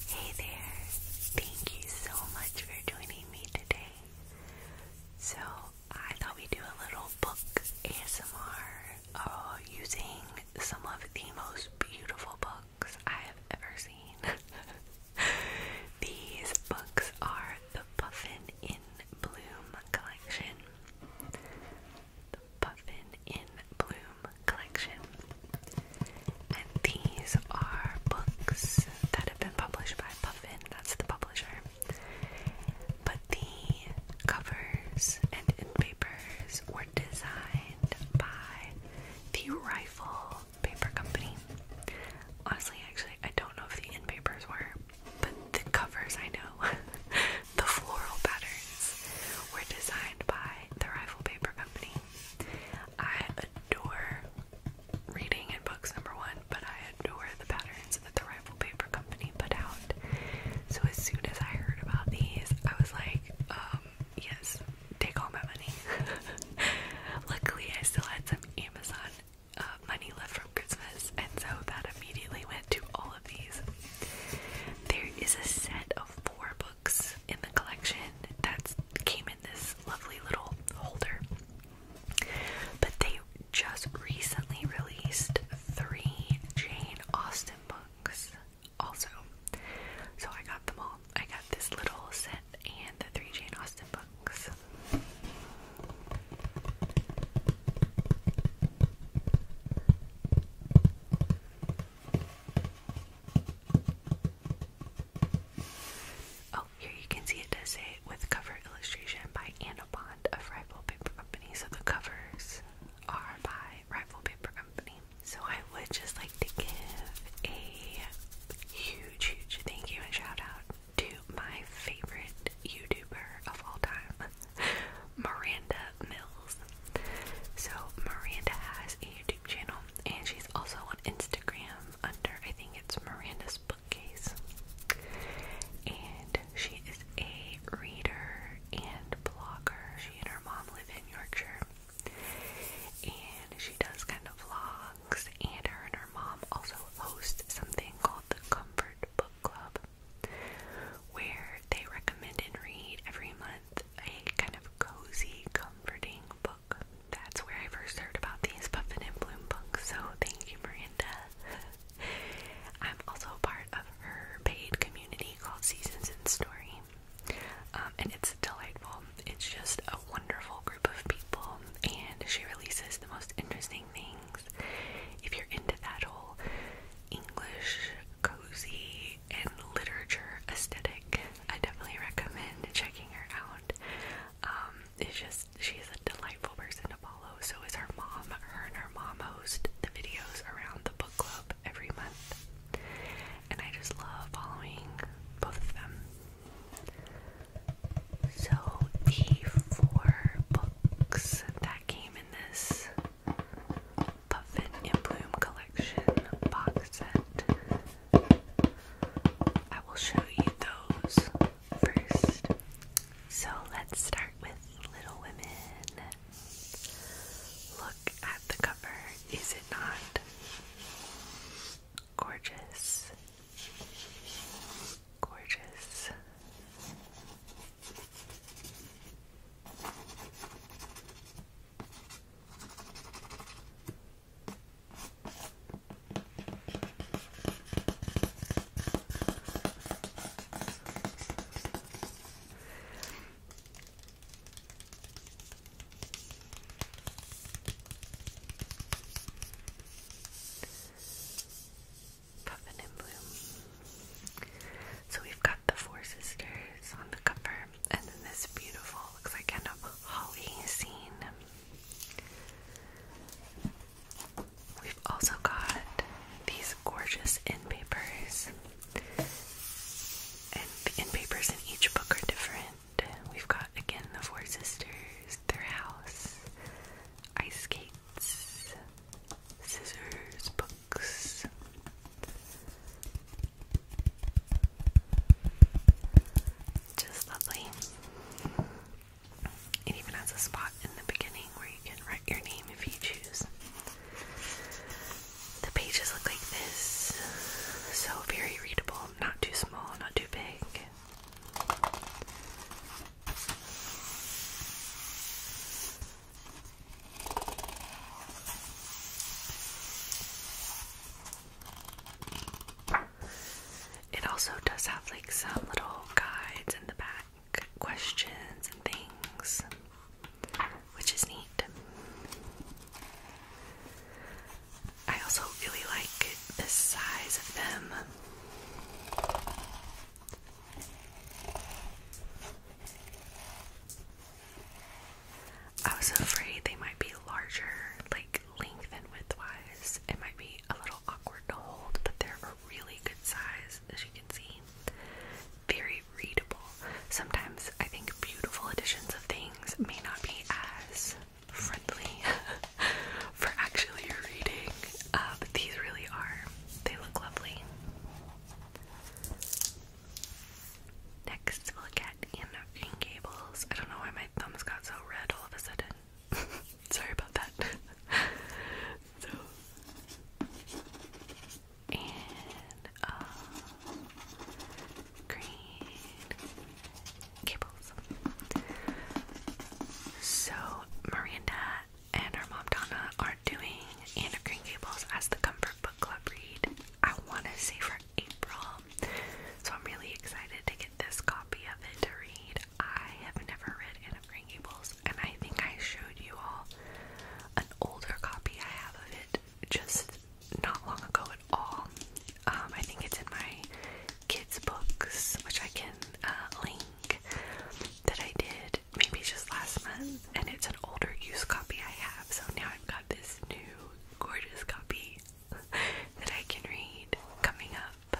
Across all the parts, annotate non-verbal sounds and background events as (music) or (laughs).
Hey there! Thank you so much for joining me today. So, I thought we'd do a little book ASMR uh, using some of the most beautiful books I have ever seen. (laughs) These books are the Puffin in Bloom collection. The Puffin in Bloom collection. And these are books that have been published by Puffin, that's the publisher. But the covers and in were designed by the Rifle Paper Company. Honestly, actually, I don't know if the in were, but the covers I know. (laughs) the floral patterns were designed by the Rifle Paper Company. I adore reading in books, number one, but I adore the patterns that the Rifle Paper Company put out. So as soon as I heard about these, I was like, um, yes, take all my money. (laughs) Luckily, I still had some Amazon uh, money left from Christmas, and so that immediately went to all of these. There is a set of four books in the collection that came in this lovely little holder. But they just recently released three Jane Austen books also. So I got them all. I got this little set and the three Jane Austen books. Oh, here you can see it does say with cover illustration by Anna Bond of Rival Paper Company. So the covers are by Rival Paper Company. So I would just like to give a huge, huge thank you and shout out to my favorite YouTuber of all time, (laughs) Miranda Mill. So Miranda has a YouTube channel and she's also on Instagram under I think it's Miranda's bookcase. And she is a reader and blogger. She and her mom live in Yorkshire. And she does kind of vlogs and her and her mom also host something called the Comfort Book Club where they recommend and read every month a kind of cozy, comforting book. That's where I first heard about these Puffin and Bloom books, so thank you, Miranda. I'm also part of her paid community called Seasons in Story, um, and it's delightful. It's just a wonderful group of people, and she releases the most interesting things. If you're into that whole English, cozy, and literature aesthetic. I definitely recommend checking her out. Um, it's just she's a delightful person to follow. So is her mom. Her and her mom host the videos around the book club every month, and I just love following both of them. So the four books that came in this Puffin and Bloom Collection box set. I will show you those first. So let's start with Little Women. Look at the cover, is it not? Gorgeous. Gorgeous. So we've got the Four Sisters on the cover and then this beautiful, looks like kind of holly scene. We've also got these gorgeous end papers, and the end papers in each book are different. We've got again the Four Sisters, their house, ice skates, scissors, book just lovely. It even has a spot in the beginning where you can write your name if you choose. The pages look like this. So very readable, not too small, not too big. It also does have like some little guides in the back, questions and things, which is neat. I also really like the size of them. I was afraid they might be larger, like length and width wise. It might be a little awkward to hold, but they're a really good size, as you can see. Very readable. Sometimes I think beautiful editions of things may not be as friendly (laughs) for actually reading, uh, but these really are. They look lovely. Next, we'll get Anne Gables. I don't know why my thumbs got so red all of a sudden. (laughs) Sorry about that. (laughs) so, and uh, Green Gables. So, Miranda and our mom Donna are doing Anne of Green Gables as the Comfort Book Club read. I want to say for April, so I'm really excited to get this copy of it to read. I have never read Anne of and I think I showed you all an older copy I have of it just not long ago at all. Um, I think it's in my kids' books, which I can uh, link that I did maybe just last month, and it's an older used copy I have, so now I've got this new gorgeous copy (laughs) that I can read coming up.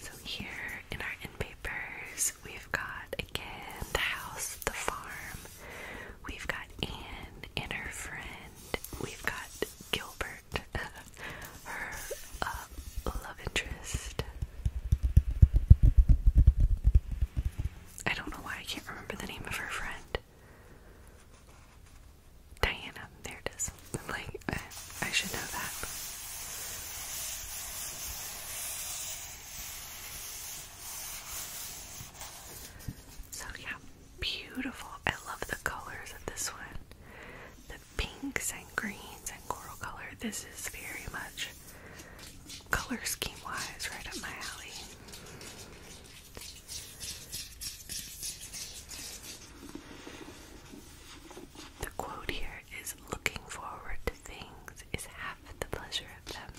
So, here in our end papers, we've got again the house, the farm, we've got Anne and her friend, we've got Gilbert (laughs) her uh, love interest. I don't know why I can't remember the name of her friend. Diana, there it like, I, should know that. So, yeah, beautiful. I love the colors of this one pinks and greens and coral color. This is very much color scheme wise right up my alley. The quote here is looking forward to things is half the pleasure of them.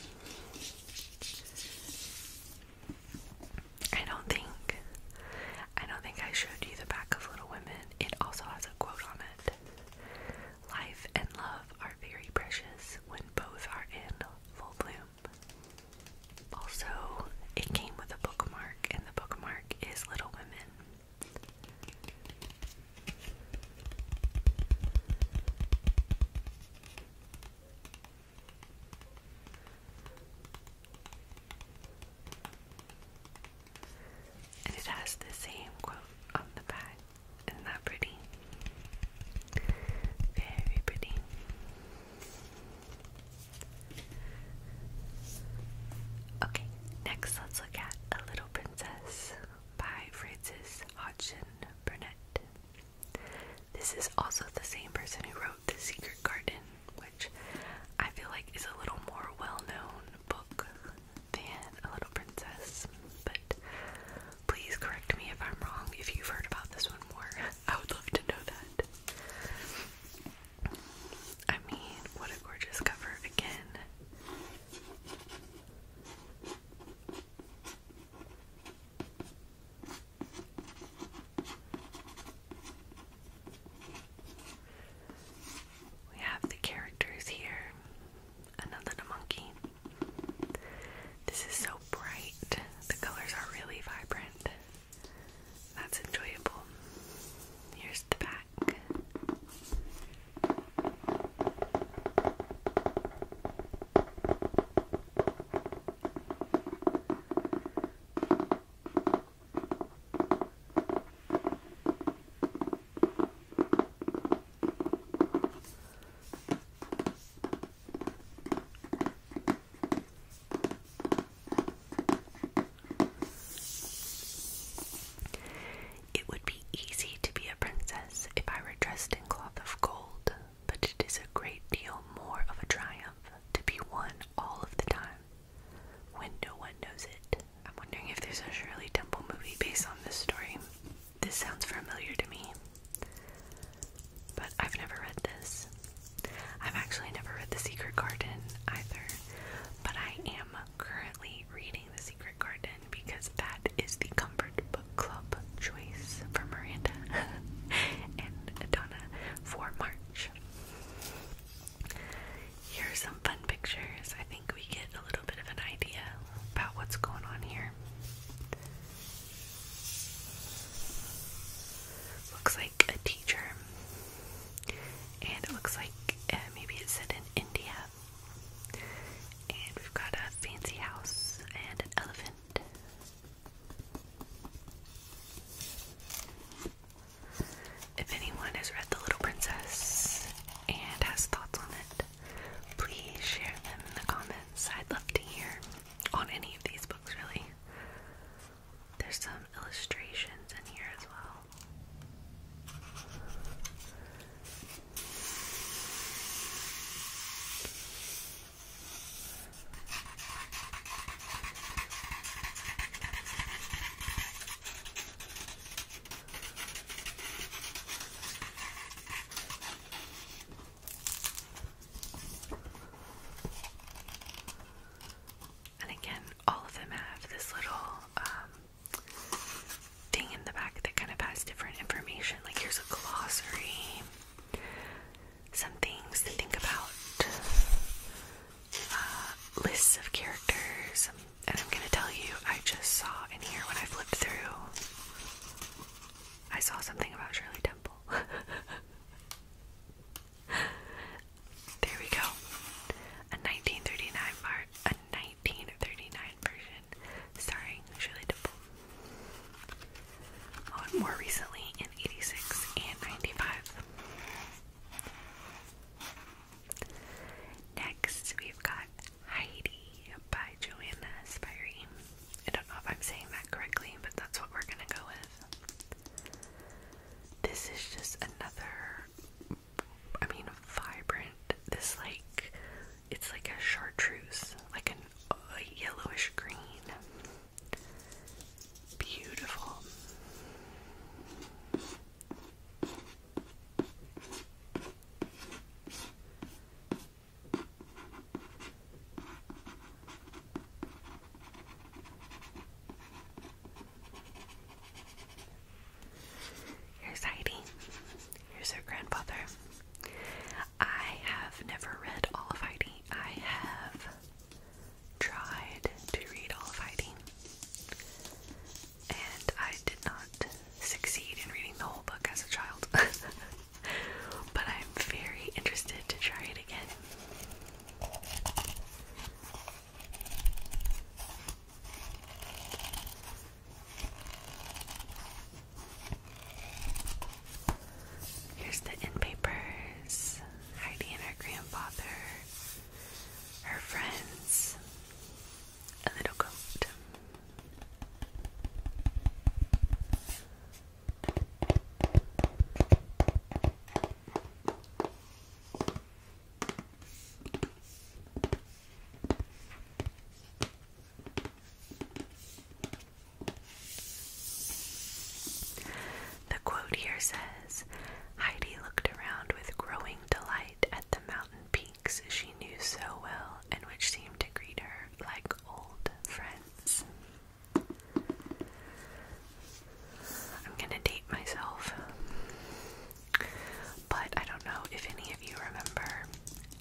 I don't think I don't think I showed you the back of Little it also has a quote on it. Life and love are very precious when both are in full bloom. Also, it came with a bookmark, and the bookmark is Little Women. And it has the same quote on the back. Isn't that pretty? Very pretty. Okay, next let's look at A Little Princess by Frances Hodgson Burnett. This is also the same person who wrote the Secret Garden, which I feel like is a little more well known book than A Little Princess, but please correct me if I'm wrong if you've heard about this one more. (laughs) I would love to know that. I mean, what a gorgeous cover again. We have the characters here. Another monkey. This is so bright. The colors are really vibrant. That's enjoyable. Here's the back. It would be easy to be a princess if I were dressed in cloth of gold, but it is a great deal more of a triumph to be one all of the time. Window One knows it. I'm wondering if there's a Shirley Temple movie based on this story. This sounds familiar to me, but I've never read this. I've actually never read The Secret Garden either, but I am currently reading The Secret Garden because that is the comfort book club choice for Miranda (laughs) and Donna for March. Here are some fun pictures. I think we get a little bit of an idea about what's going on here. Looks like a teacher, and it looks like uh, maybe it's set in India. And we've got a fancy house and an elephant if anyone has read The Little Princess and has thoughts on it, please share them in the comments. I'd love to hear on any of these books, really. There's some illustrations in here as well. And again, all of them have this little um, thing in the back that kind of has different information. Like here's a glossary, some things to think about, uh, lists of characters, um, and I'm gonna tell you, I just saw in here when I flipped through, I saw something about Shirley Temple. (laughs) there we go. A 1939 part, a 1939 version starring Shirley Temple more recently in 86 and 95. Next, we've got Heidi by Joanna Spirey. I don't know if I'm saying that correctly, but that's what we're gonna go with. This is just another, I mean, vibrant. This, like, it's like a chartreuse, like a yellowish green. Beautiful. Here's Heidi. Here's her grandfather. I have never read all of Heidi. I have tried to read all of Heidi, and I did not succeed in reading the whole book as a child. (laughs) but I'm very interested to try it again. Here's the end papers. Heidi and her grandfather. Her friends. A little goat. The quote here says Heidi looked around with growing delight at the mountain peaks she knew so well and which seemed to greet her like old friends. I'm gonna date myself, but I don't know if any of you remember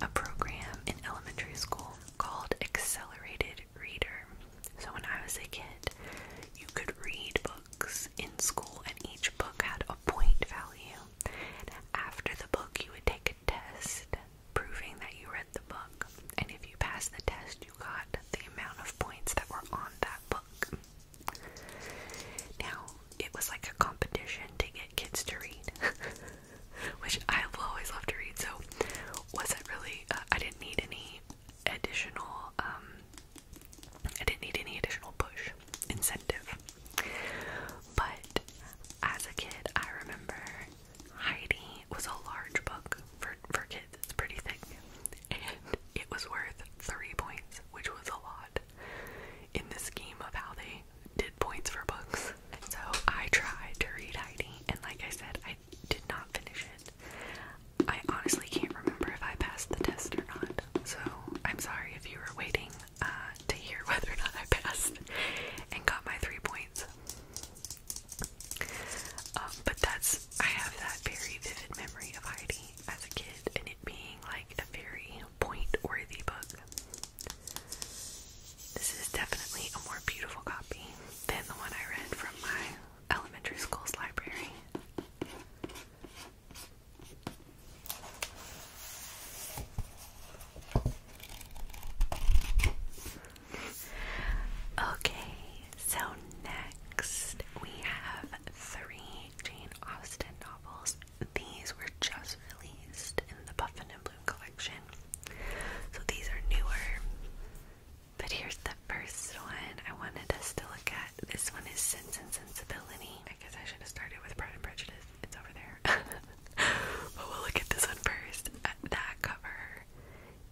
a program in elementary school called Accelerated avid reader. So when I was a kid, you could read books in school and each book had a point value. And after the book, you would take a test proving that you read the book. And if you passed the test, you got the amount of points that were on that book. Now, it was like a competition to get kids to read. (laughs) (laughs) which I will always loved to read. So wasn't really. Uh, I didn't need any additional. Um, I didn't need any additional push incentive. But as a kid, I remember Heidi was a large book for for kids. It's pretty thick, and it was worth three points, which was a lot in the scheme of how they did points for books. So I tried to read Heidi, and like I said, I I did not finish it. I honestly can't remember if I passed the test or not, so I'm sorry if you were waiting uh, to hear (laughs) whether or not I passed and got my three points. Um, but that's, I have that very vivid memory of Heidi as a kid and it being like a very point worthy book. This is definitely a more beautiful copy than the one I read from my elementary school's library. Okay, so next we have three Jane Austen novels. These were just released in the Buffalo collection. So these are newer. But here's the first one I wanted us to look at. This one is Sense and Sensibility. I guess I should have started with Pride and Prejudice. It's over there. (laughs) but we'll look at this one first. Uh, that cover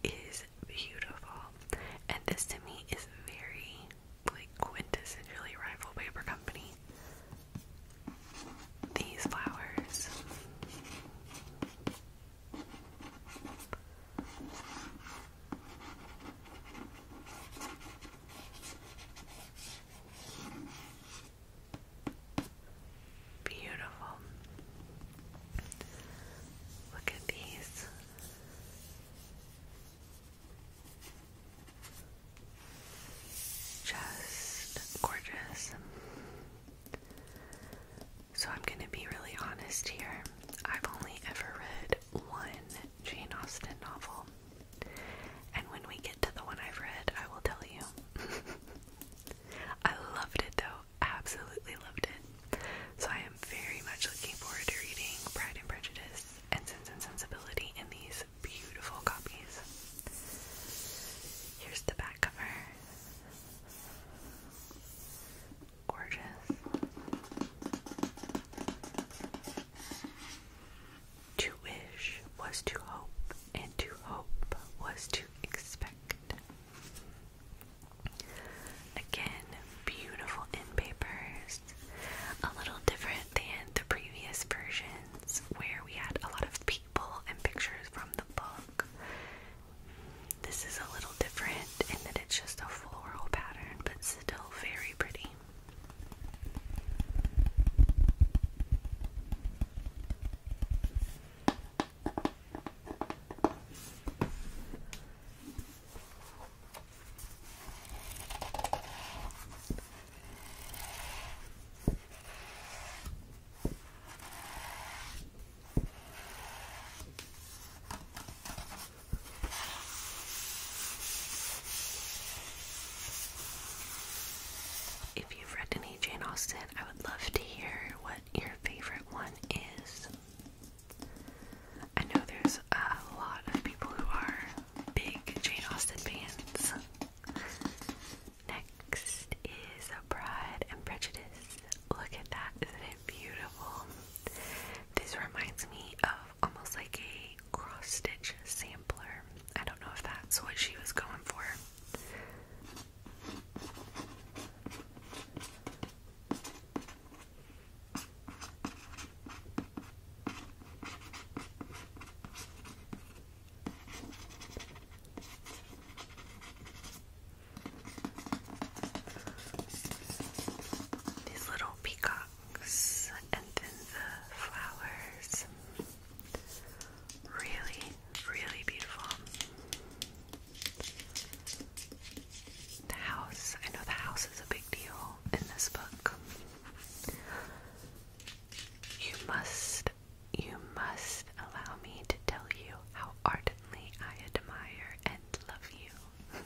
is beautiful. And this to me is very like quintessentially rival paper company. These flowers. Beautiful. Look at these. Just gorgeous. So I'm going to be really honest here. I've only ever read one Jane Austen novel. And when we get to the one I've read, I will tell you. (laughs) I loved it though. Absolutely loved it. So I am very much looking forward to reading Pride and Prejudice and Sense and Sensibility in these beautiful copies. Here's the back cover. Gorgeous. To wish was to hope, and to hope was to expect. Again, beautiful in papers. A little different than the previous versions where we had a lot of and pictures from the book. This is a little different in that it's just a floral pattern, but still very pretty. If you've read any Jane Austen, I would love to hear what your favorite one is. I know there's a lot of people who are big Jane Austen fans. Next is Pride and Prejudice. Look at that, isn't it beautiful? This reminds me of almost like a cross stitch sampler. I don't know if that's what she was going for. These little peacocks and then the flowers. Really, really beautiful. The house. I know the house is a big deal in this book. You must you must allow me to tell you how ardently I admire and love you.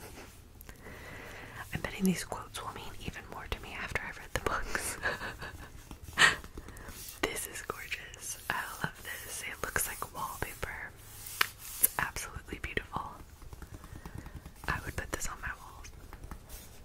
(laughs) I'm betting these quotes will mean even more to me after I've read the books. (laughs) this is gorgeous. I love this. It looks like wallpaper. It's absolutely beautiful. I would put this on my walls.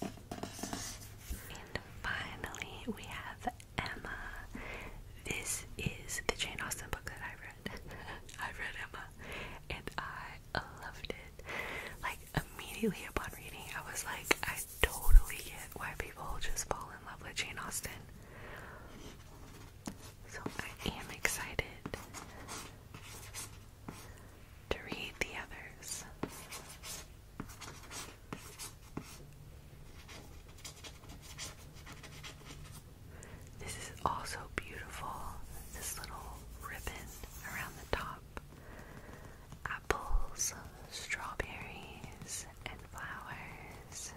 And finally, we have Emma. This is the Jane Austen book that I read. (laughs) I read Emma, and I loved it. Like, immediately upon reading, I was like, I totally get why people just fall in love with Jane Austen. So I am excited to read the others. This is also beautiful, this little ribbon around the top. Apples, strawberries, and flowers.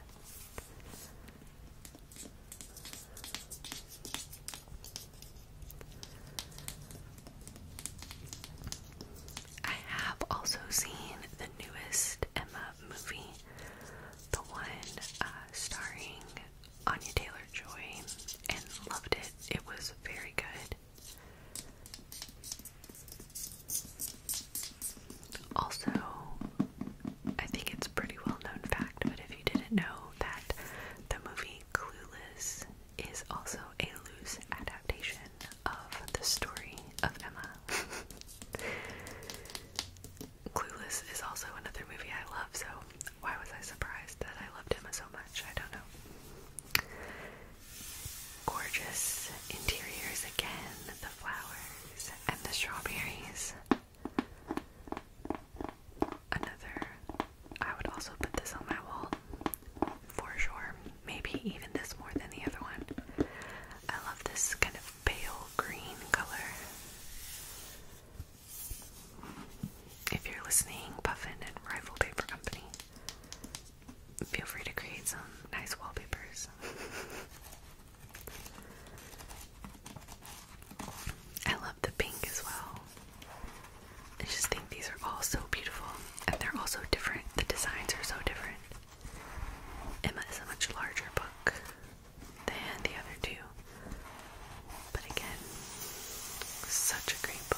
I have also seen the newest Emma movie, the one uh, starring Anya Taylor Joy, and loved it. It was very good. Also, I think it's a pretty well known fact, but if you didn't know, that the movie Clueless is also a loose adaptation of the story of Emma. (laughs) Clueless is also another movie I love, so why was I surprised that I loved Emma so much? I don't know. Gorgeous interiors again, the flowers and the strawberries. Another, I would also put this on my wall for sure. Maybe even this more than the other one. I love this kind of pale green color. If you're listening, Puffin and Rifle Paper Company, feel free to create some nice wallpapers. (laughs) I love the pink as well. I just think these are all so beautiful and they're all so different. The designs are so different. Emma is a much larger book than the other two. But again, such a great book.